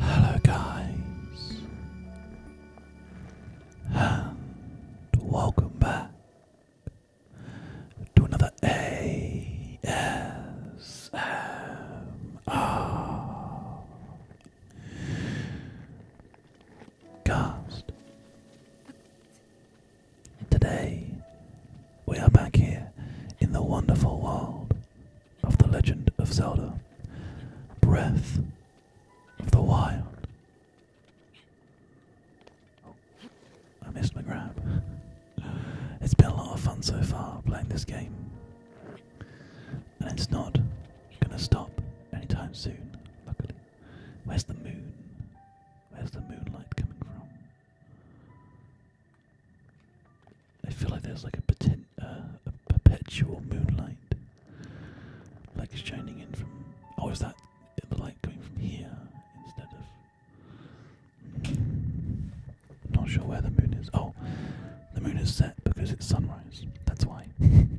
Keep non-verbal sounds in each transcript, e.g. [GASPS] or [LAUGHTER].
Hello, guys, and welcome to another ASMR Cast. Today, we are back here in the wonderful world of The Legend of Zelda Breath of the Wild. Oh, I missed my grab. It's been a lot of fun so far playing this game. And it's not going to stop anytime soon, luckily. Where's the moon? Where's the moonlight coming from? I feel like there's like a, uh, perpetual moonlight. Like shining in from. Oh, is that the light coming from here instead of. not sure where the moon is. Oh, the moon is set because it's sunrise. That's why. [LAUGHS]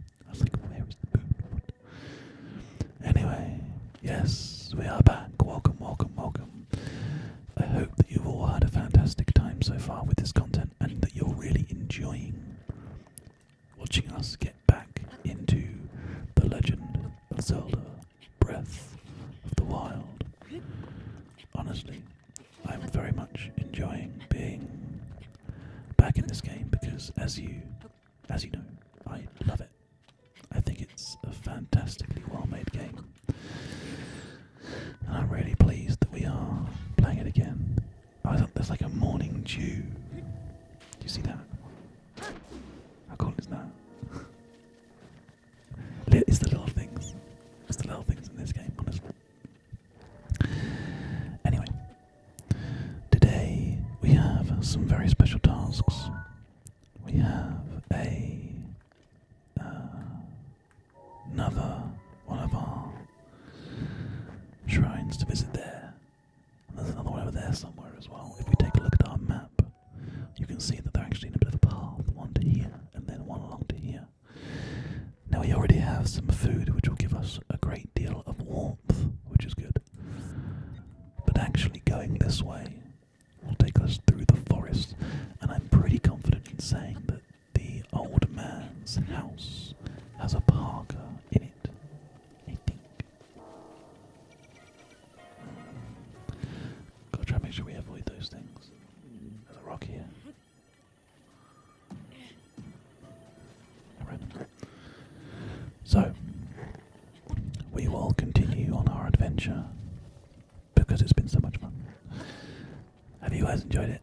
Anyway, yes, we are back. Welcome, welcome, welcome. I hope that you've all had a fantastic time so far with this content and that you're really enjoying watching us get back into the legend of Zelda Breath of the Wild. Honestly, I'm very much enjoying being back in this game because, as you, as you know, I love it. I think it's a fantastically well-made game, and I'm really pleased that we are playing it again. I thought there's like a morning dew. Do you see that? How cool is that? [LAUGHS] it's the little things. It's the little things in this game, honestly. Anyway, today we have some very special tasks. We have a uh, another one of our shrines to visit there. And there's another one over there somewhere as well. If we take a look at our map, you can see that they're actually in a bit of a path, one to here and then one along to here. Now we already have some food, which will give us a great deal of warmth, which is good. But actually, going this way will take us through the forest, and I'm pretty confident in saying that the old man's house has a parka in it. I think. Gotta try and make sure we avoid those things. There's a rock here. So, we will continue on our adventure because it's been so much fun. Have you guys enjoyed it?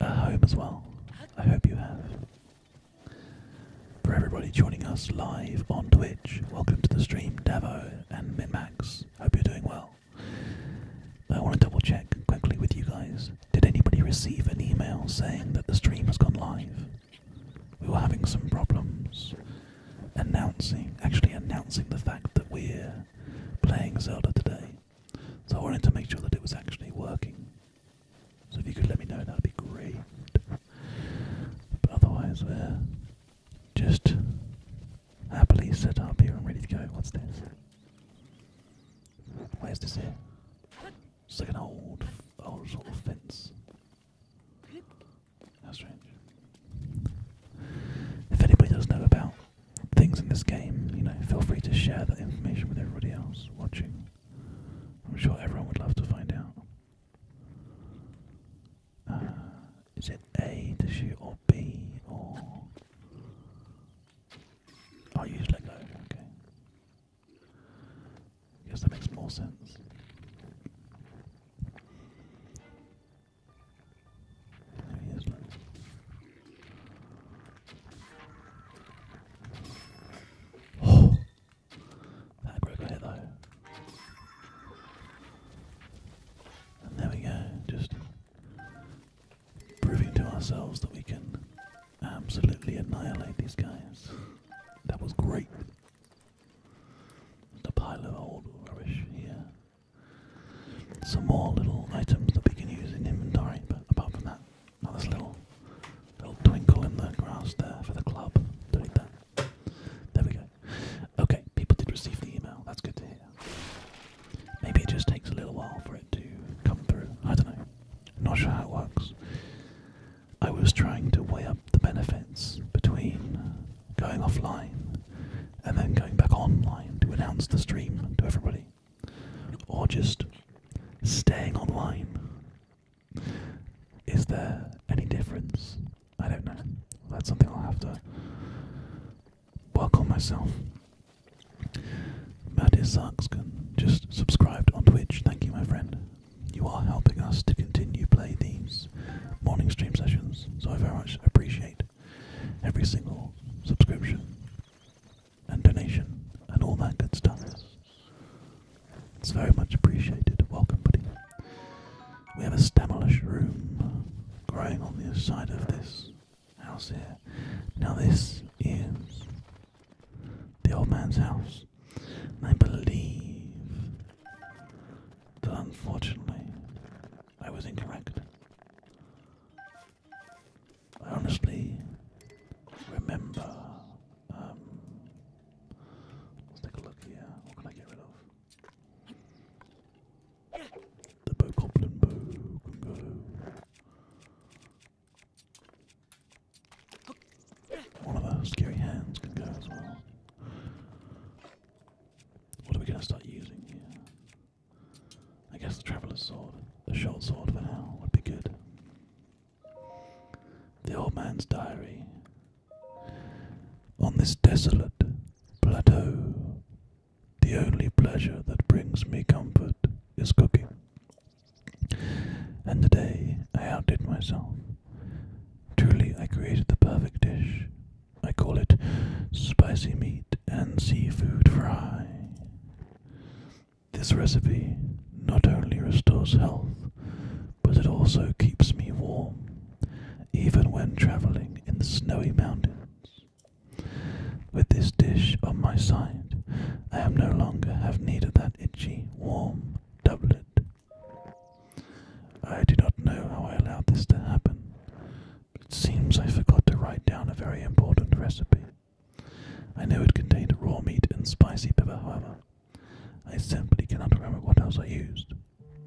At home as well. I hope you have. For everybody joining us live on Twitch, welcome to the stream, Davo and Minmax. Hope you're doing well. I want to double check quickly with you guys. Did anybody receive an email saying that the stream has gone live? We were having some problems announcing, actually announcing the fact that we're playing Zelda today. So I wanted to make sure that it was actually working. So if you could let me know, that'd be great. But otherwise, we're just happily set up here and ready to go. What's there? Where's this here? It's like an old, old fence. That's strange. If anybody does know about things in this game, you know, feel free to share that information with everybody else watching. I'm sure everyone would love to find out. Uh, is it A does she, or B or I oh, use Lego, okay. Guess that makes more sense. There he is, Oh! That broke here though. And there we go, just proving to ourselves that we can absolutely annihilate these guys. That was great. The pile of old rubbish here. Some more little items that we can use in inventory, but apart from that, now little, little twinkle in the grass there for the club. do that. There we go. Okay, people did receive the email. That's good to hear. Maybe it just takes a little while for it to come through. I don't know. Not sure how it works. I was trying to weigh up the benefits between going offline and then going back online to announce the stream to everybody, or just staying online. Is there any difference? I don't know. That's something I'll have to Welcome, on myself. Mattis Sarkskin just subscribed on Twitch. Thank you, my friend. You are helping us to continue play these morning stream sessions, so I very much appreciate every single subscription and donation and all that good stuff. It's very much appreciated. Welcome, buddy. We have a stamelish room growing on the side of this house here. Now this is the old man's house. I believe that unfortunately I was incorrect. I honestly remember. Um, let's take a look here. What can I get rid of? The One of our scary hands can go as well. What are we going to start using I guess the traveller's sword, the short sword for now, would be good. The old man's diary. On this desolate plateau, the only pleasure that brings me comfort is cooking. And today I outdid myself. Truly, I created the perfect dish. I call it spicy meat and seafood fry. This recipe not only restores health, but it also keeps me warm, even when traveling in the snowy mountains. With this dish on my side, I am no longer have need of that itchy, warm doublet. I do not know how I allowed this to happen. It seems I forgot to write down a very important recipe. I know it contained raw meat and spicy pepper, however. I simply cannot remember what else I used.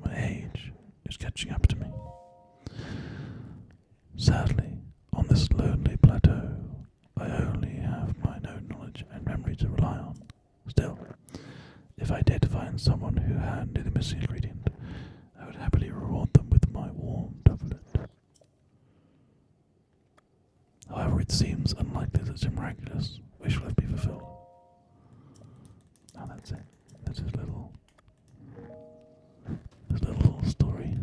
My age is catching up to me. Sadly, on this lonely plateau, I only have my own knowledge and memory to rely on. Still, if I did find someone who had the missing ingredient, I would happily reward them with my warm doublet. However, it seems unlikely that a miraculous wish will be fulfilled. that's it. That's little his little story.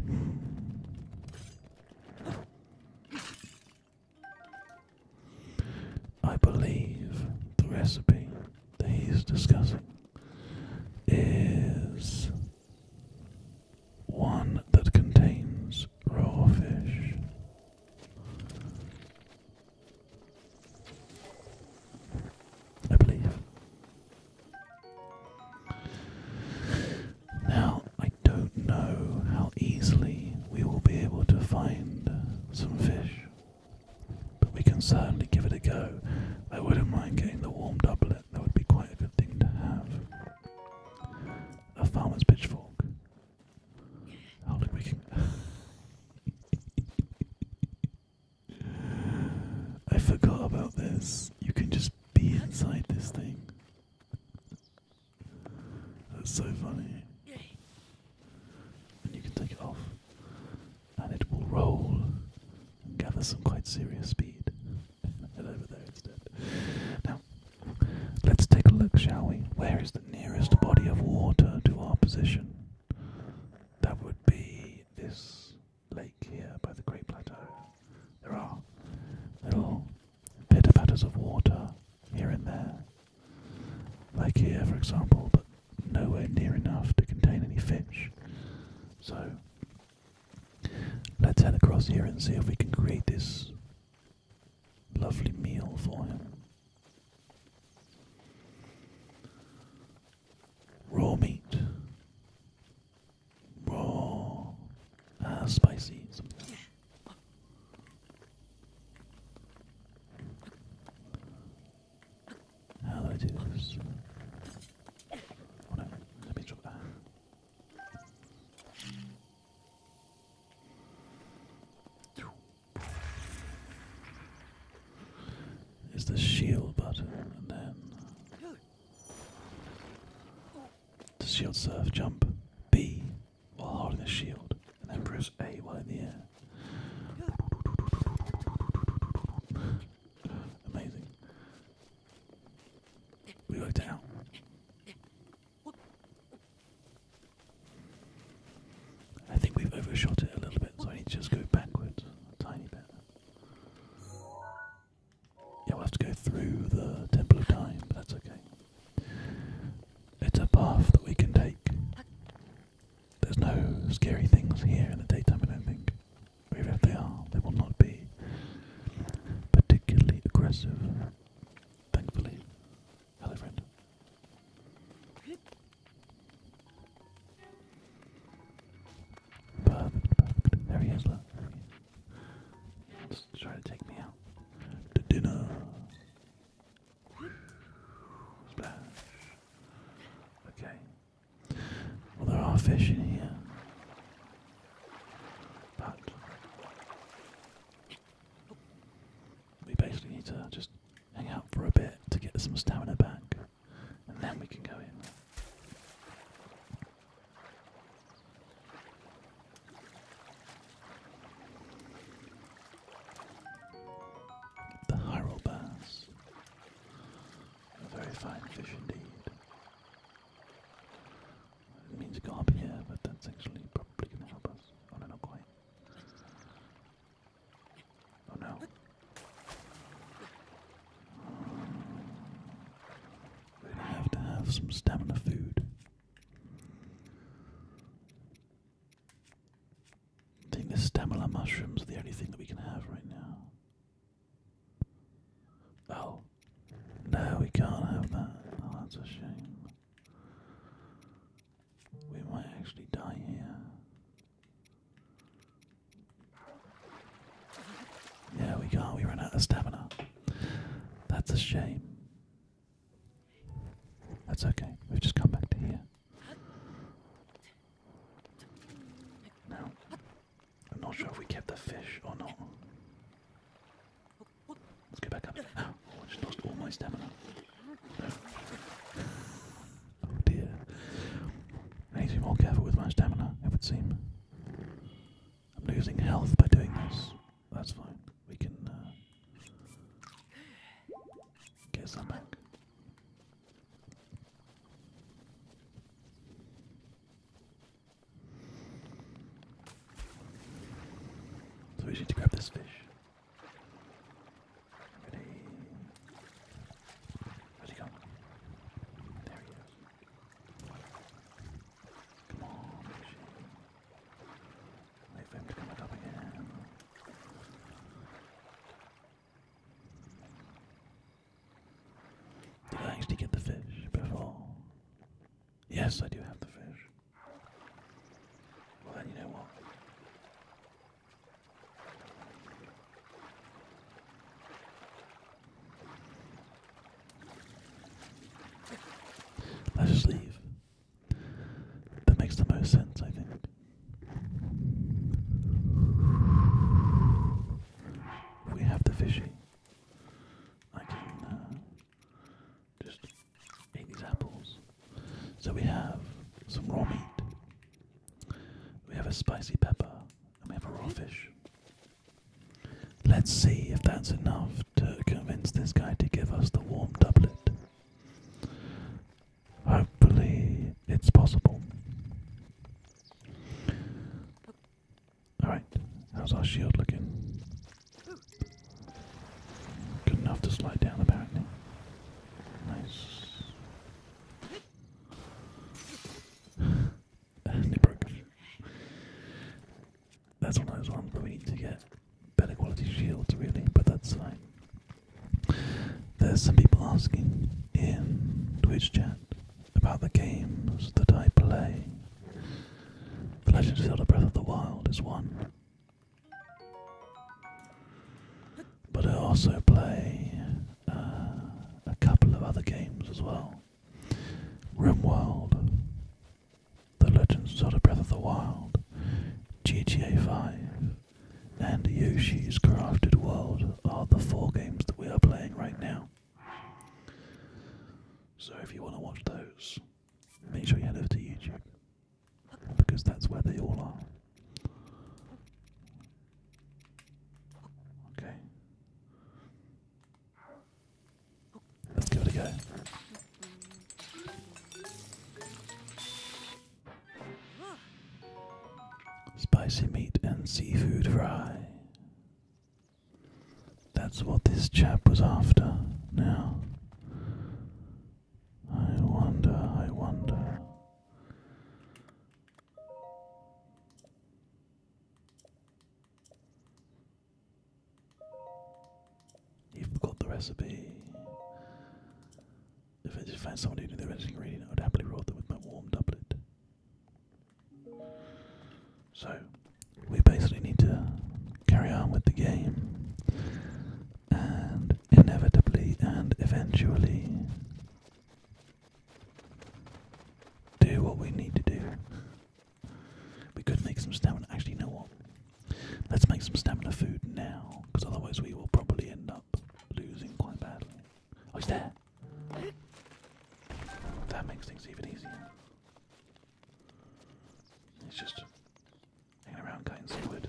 I believe the recipe that he's discussing is one that contains raw fish. I believe. Now, I don't know how easily we will be able to find some fish, but we can certainly give it a go. I wouldn't mind getting the warm doublet, that would be quite a good thing to have. A farmer's pitchfork. Oh, look, we can. [LAUGHS] I forgot about this. You can just be inside this thing. That's so funny. And you can take it off, and it will roll and gather some quite serious speed. Head [LAUGHS] over there instead. Now, let's take a look, shall we? Where is the nearest body of water to our position? That would be this lake here by the Great Plateau. There are little pitter patters of water here and there, Lake here, for example, but nowhere near enough to contain any fish. So let's head across here and see if we can create this lovely meal for him raw meat, raw, uh, spicy, How do I do this? let me drop that. the shield button then to shield surf, jump B while holding the shield, and then press A while in the air. Amazing. We worked it I think we've overshot it a little bit, so I need to just go backwards a tiny bit. Yeah, we'll have to go through the Temple of Time, but that's okay. It's a path that we can take. There's no scary things here in the daytime, I don't think. even if they are, they will not be particularly aggressive. Thankfully. Hello, friend. Perfect, There he is, Let's try to take me out. To dinner. Okay. Well, there are fish in here. But we basically need to just hang out for a bit to get some stamina back and then we can go in. The Hyrule A very fine fish indeed. It means go here, but that's actually probably going to help us. Oh no, not quite. Oh no. They have to have some stamina food. I think the stamina mushrooms are the only thing that we can have right now. Oh. No, we can't have that. Oh, that's a shame. We might actually die here. Yeah, we can't. We ran out of stamina. That's a shame. That's okay. We've just come back to here. Now, I'm not sure if we kept the fish or not. Let's go back up. [GASPS] Oh, I just lost all my stamina. Oh dear. I need to be more careful with my stamina, it would seem. I'm losing health by doing this. That's fine. We can uh, get some back. So we need to grab this fish. Ready? How's he coming? There he is. Come on, fishy. Wait for him to up again. Did I actually get the fish before? Yes, I do have the fish. Well, then you know what? Let's just leave. That makes the most sense, I think. We have the fishy. I can uh, just eat these apples. So we have some raw meat, we have a spicy pepper and we have a raw fish. Let's see if that's enough to convince this guy to give us the warm doublet. Hopefully, it's possible. Alright, how's our shield looking? Good enough to slide down, apparently. Nice it [SIGHS] broke. That's one of those ones to get better quality shields, really, but that's fine. There's some people asking in Twitch chat about the games that I play. The Legend of Zelda Breath of the Wild is one but I also play uh, a couple of other games as well. RimWorld, The Legends of the Breath of the Wild, GTA 5, and Yoshi's Crafted World are the four games that we are playing right now. So if you want to watch those, make sure you head over to YouTube because that's where they all are. Okay. Let's give it a go. Spicy meat and seafood fry. That's what this chap was after. Now, I wonder, I wonder. You've got the recipe. If I just find somebody who knew the original I would happily roll them with my warm doublet. So, we basically need to carry on with the game, and inevitably and eventually do what we need to do. We could make some stamina. Actually, you what? Let's make some stamina food now, because otherwise we will probably end up losing quite badly. Oh, he's there! That makes things even easier. It's just hanging around cutting some wood.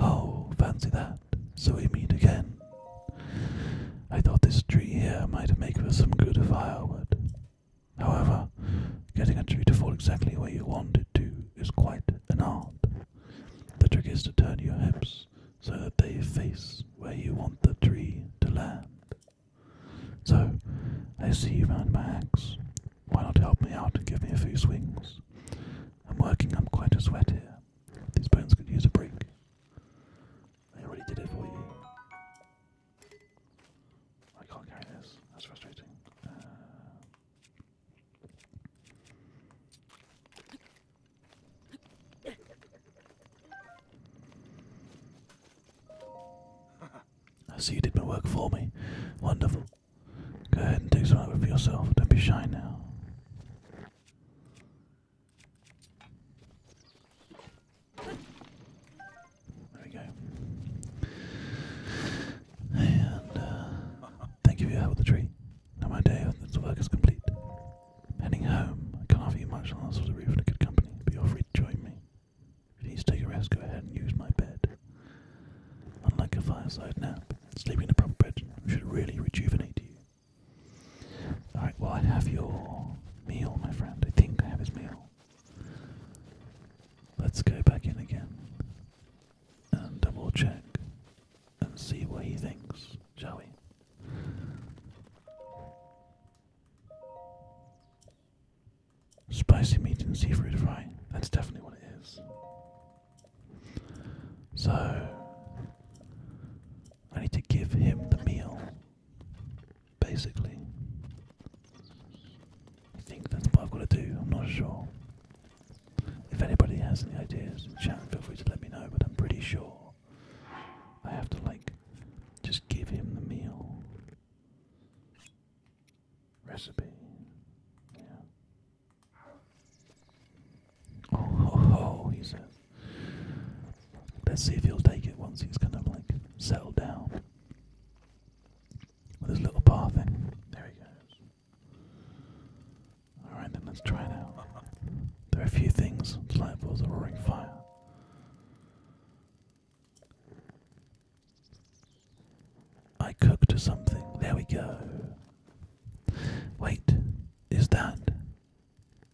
Oh, fancy that. So we meet again. I thought this tree here might make for some good firewood. However, getting a tree to fall exactly where you want it to is quite an art. The trick is to turn your hips so that they face where you want the tree to land. So, I see you round my axe. Why not help me out and give me a few swings? I'm working I'm quite a sweat here. These bones could use a break. I already did it for you. I can't carry this. That's frustrating. Uh, [LAUGHS] I see you did my work for me. Wonderful. Go ahead and take some of it for yourself. Don't be shy now. There we go. And uh, thank you for your with the tree. my day of work is complete. Heading home, I can't offer you much else for the roof and a good company, but you're free to join me. If you need to take a rest, go ahead and use my bed. Unlike a fireside nap, sleeping in a proper bed should really rejuvenate you. Alright, well, I have your meal, my friend. I think I have his meal. Let's go back in again and double check and see what he thinks, shall we? Spicy meat and seafood fry. That's definitely what it is. So, I need to give him the meal, basically. I think that's what I've got to do, I'm not sure. If anybody has any ideas feel free to let me know, but I'm pretty sure I have to like just give him the meal. Recipe. Oh, he says. Let's see if he'll take it once he's kind of like settled down. With his little bar thing. There he goes. Alright then, let's try now. There are a few things. Lightbulbs, a roaring fire. I cooked something. There we go. Wait, is that?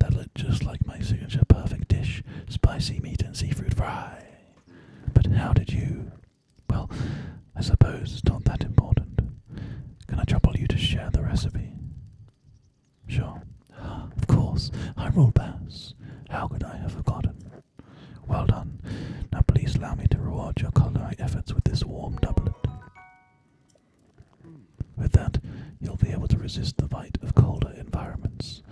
That looked just like my signature perfect dish spicy meat and seafood fry. But how did you? Well, I suppose it's not that important. Can I trouble you to share the recipe? Sure. Of course. I am all bass. How could I have forgotten? Well done. Now please allow me to reward your culinary efforts with this warm doublet. With that, you'll be able to resist the bite of colder environments.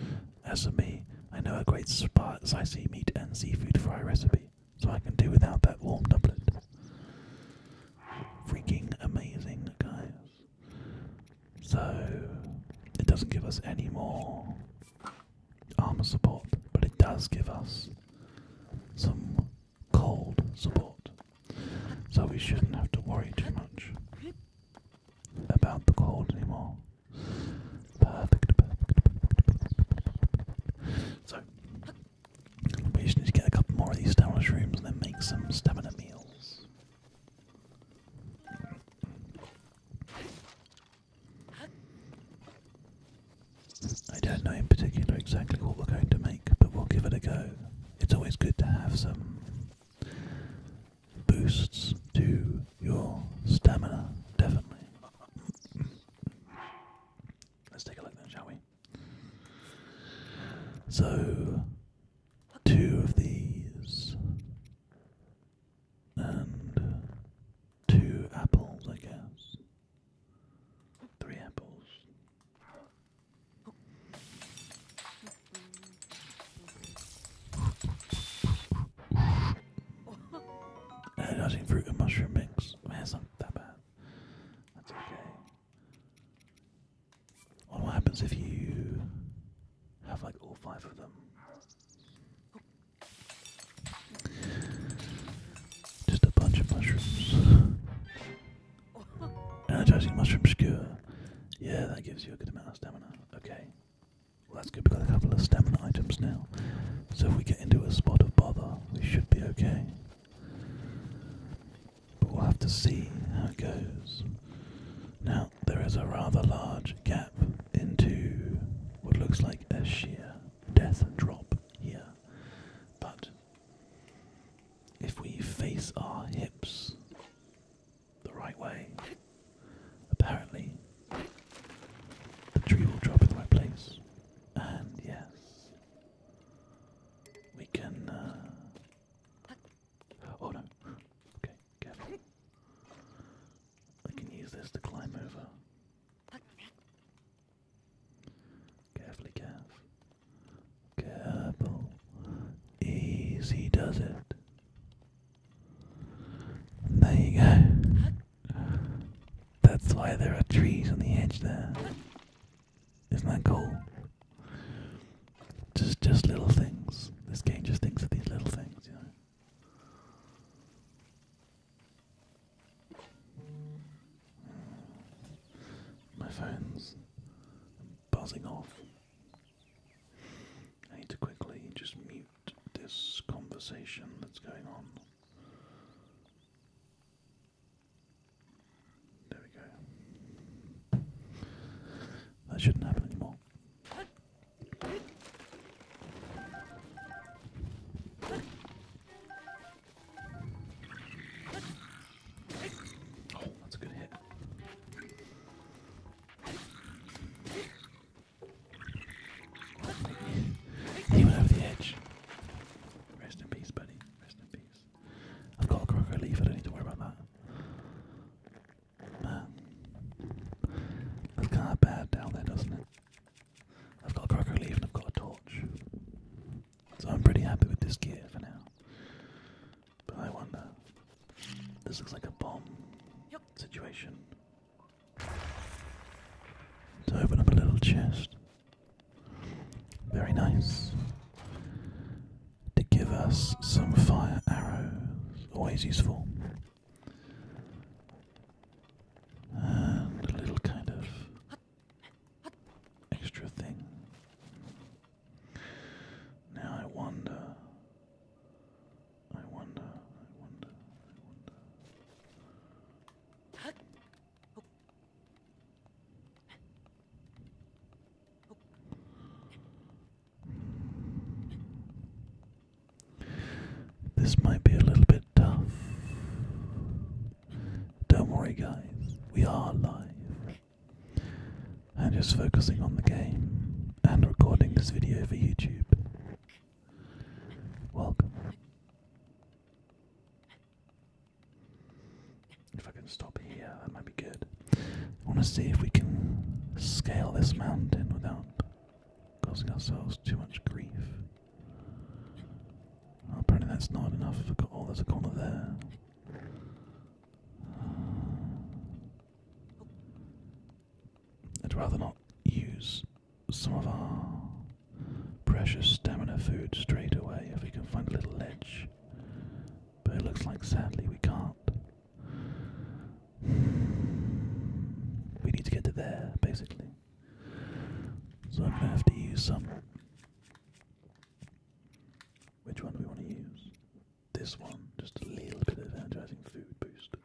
As for me, I know a great spot. I see meat and seafood fry recipe, so I can do without that warm doublet. Freaking amazing, guys. So it doesn't give us any more armor support, but it does give us some cold support. So we shouldn't have to worry too much about the cold anymore. Perfect, So we just get a couple more of these stamina shrooms and then make some stamina meals. I don't know in particular exactly what we're going to make, but we'll give it a go. It's always good to have some boosts to your stamina, definitely. Let's take a look then, shall we? So, two of these and two apples, I guess. Three apples. And I think fruit and mushroom mix. I not that bad. That's okay what happens if you have like all five of them? Just a bunch of mushrooms. Energizing mushroom skewer. Yeah, that gives you a good amount of stamina. Okay. Well, that's good. We've got a couple of stamina items now. So if we get into a spot of bother, we should be okay. But we'll have to see how it goes. Now, there is a rather large gap into what looks like a sheer death drop here. But if we face our hips the right way, apparently the tree will drop in the right place. And yes, we can uh, Oh no. Okay, careful. I can use this to climb over. Carefully, Cav. Careful. Easy does it. there you go. That's why there are trees on the edge there. Isn't that cool? Just just little things. This game just thinks of these little things, you know. My phone's buzzing off. I need to quickly just mute this conversation that's going on. That shouldn't happen anymore. Oh, that's a good hit. He over the edge. Rest in peace, buddy. Rest in peace. I've got a quick leaf. I don't need to worry about that. Man. That's kinda bad down there, doesn't it? I've got a cracker leaf and I've got a torch. So I'm pretty happy with this gear for now. But I wonder. This looks like a bomb situation. To open up a little chest. Very nice to give us some fire arrows. Always useful. And a little kind of extra thing. Now I wonder. I wonder. I wonder. I wonder. This might be a little bit tough. Don't worry, guys, we are alive. I'm just focusing on the game and recording this video for YouTube. Welcome. If I can stop here, that might be good. I want to see if we can scale this mountain without causing ourselves too much grief. apparently, that's not enough. Oh, there's a corner there. I'd rather not use some of our precious stamina food straight away if we can find a little ledge. But it looks like sadly we can't. We need to get to there, basically. So I'm going to have to use some. Which one do we want to use? This one, just a little bit of energizing food boost.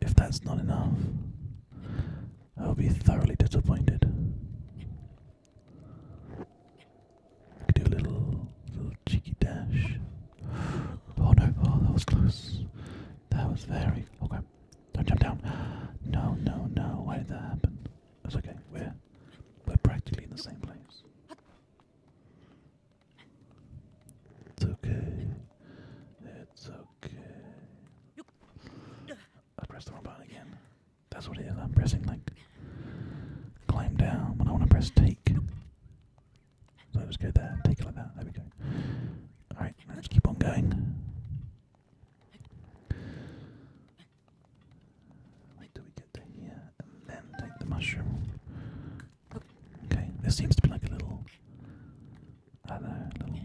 If that's not enough, I'll be thoroughly disappointed do a little, little cheeky dash. Oh no, oh that was close. That was very, okay. Don't jump down. No, no, no, why did that happen? That's okay, we're, we're practically in the same place. It's okay. It's okay. I pressed the wrong button again. That's what it is. I'm pressing like climb down, When I want to press take. So I just go there, take it like that. There we go. Alright, let's keep on going. Wait till we get to here and then take the mushroom. Okay, this seems to be like a little, I little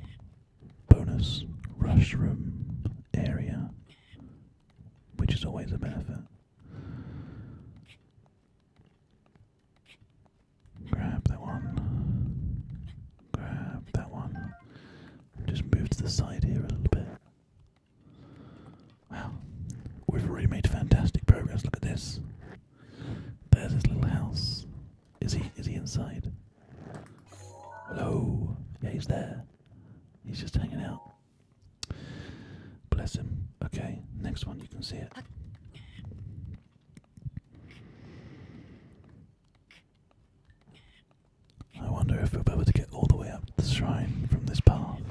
bonus mushroom area which is always a benefit. Grab that one. Grab that one. Just move to the side here a little bit. Wow, we've already made fantastic progress. Look at this. There's his little house. Is he? Is he inside? Hello. Yeah, he's there. He's just hanging out. Bless him. Okay, next one you can see it. I wonder if we'll be able to get all the way up the shrine from this path.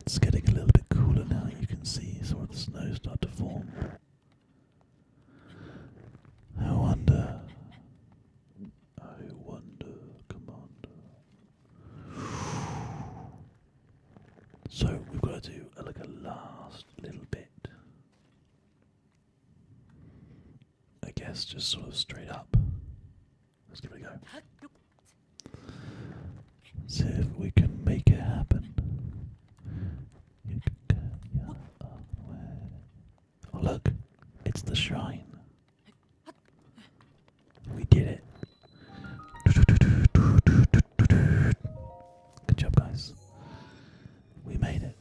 It's getting a little bit cooler now. You can see some of the snow start to form. I wonder I wonder, Commander. So we've got to do uh, like a last little bit. I guess just sort of straight up. Let's give it a go. See if we can make it happen. Oh, look, it's the shrine. We did it. Good job, guys. We made it.